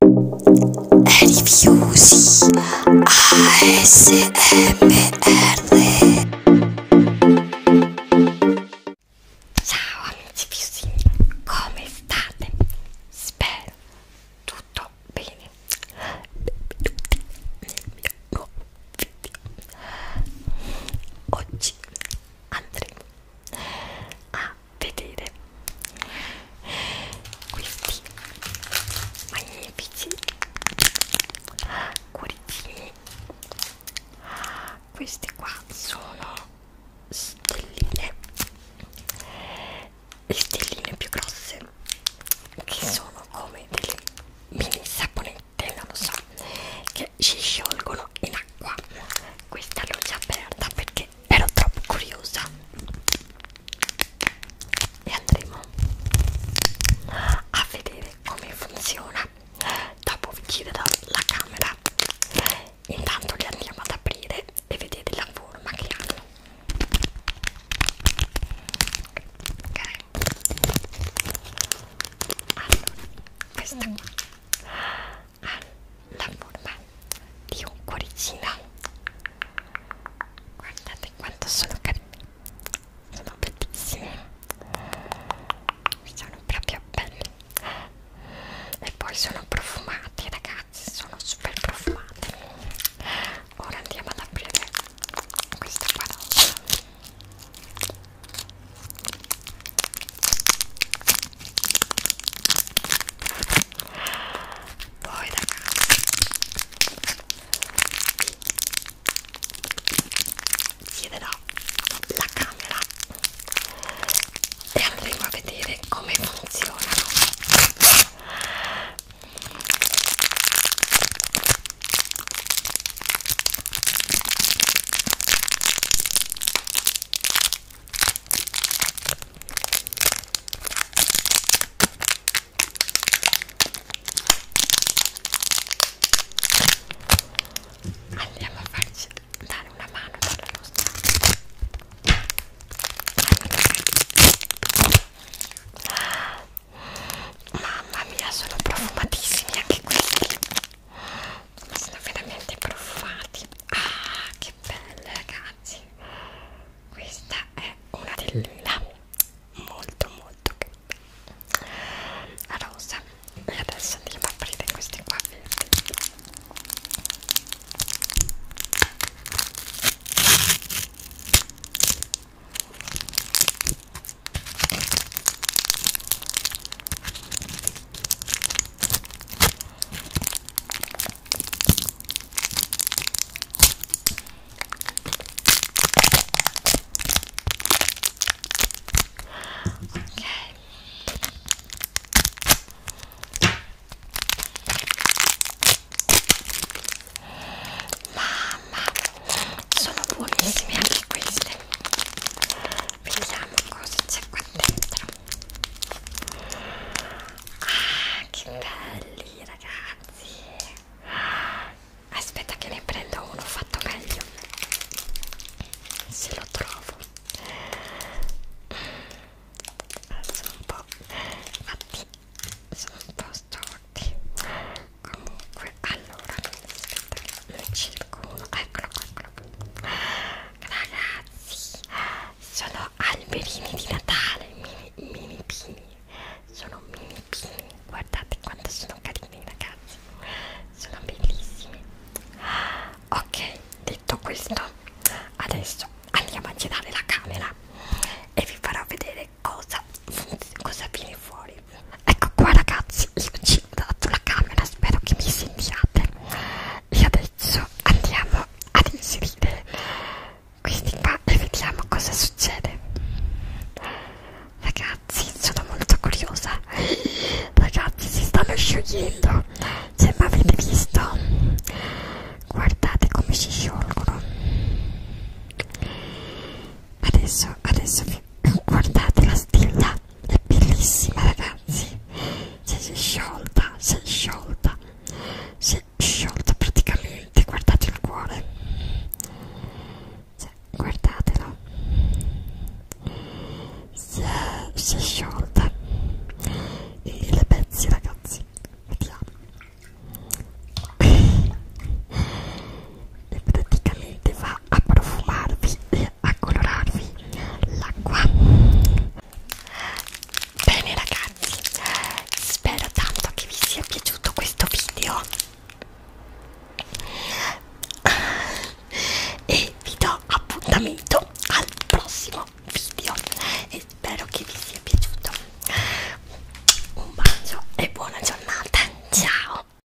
Rifiusi ASMR Ciao amici fiusini, come state? Spero tutto bene Benvenuti nel mio nuovo video Oggi andremo a vedere questi magnifici cuoricini questi qua sono stelline le stelline più grosse che sono come delle mini saponette non lo so che si sciolgono in acqua questa l'ho già aperta perché perché ero troppo curiosa e andremo a vedere come funziona dopo vi chiuderò la camera intanto li andiamo ad aprire e vedete la forma che hanno ok allora questa qua ha la forma di un cuoricino guardate quanto sono carini sono bellissime sono proprio belli e poi sono profumati ragazzi sono super profumati ora andiamo ad aprire questa qua roba poi ragazzi chiederò la camera e andremo a vedere come funzionano Andiamo a farci dare una mano dalla nostra mamma mia sono profumatissimi anche questi sono veramente profumati ah che belle ragazzi questa è una tellina molto molto carina rosa e adesso andiamo a aprire queste qua verdi Ok. Mamma, sono buonissime anche queste vediamo cosa c'è qua dentro ah che belli ragazzi aspetta che ne prendo uno fatto meglio se lo trovo sono un po' fatti sono un po' storti comunque allora aspetta che ci qualcuno eccolo eccolo ragazzi sono alberini di natale mini mini pini sono mini pini guardate quanto sono carini ragazzi sono bellissimi ok detto questo adesso andiamo a girare la camera e vi farò vedere cosa, cosa viene fuori ecco qua ragazzi io ci scendato la camera, spero che mi sentiate. E adesso andiamo ad inserire questi qua e vediamo cosa succede. Ragazzi, sono molto curiosa. Ragazzi, si stanno sciogliendo. Se cioè, mi avete visto, guardate come si sciolgono. Adesso, adesso, guardate la stella è bellissima ragazzi cioè, si è sciolta si è sciolta si è sciolta praticamente guardate il cuore cioè, guardatelo si è, si è sciolta e le pezzi ragazzi vediamo e praticamente va aiuterà a profumarvi e a colorarvi l'acqua bene ragazzi spero tanto che vi sia piaciuto questo video e vi do appuntamento al prossimo video e spero che vi sia piaciuto un bacio e buona giornata ciao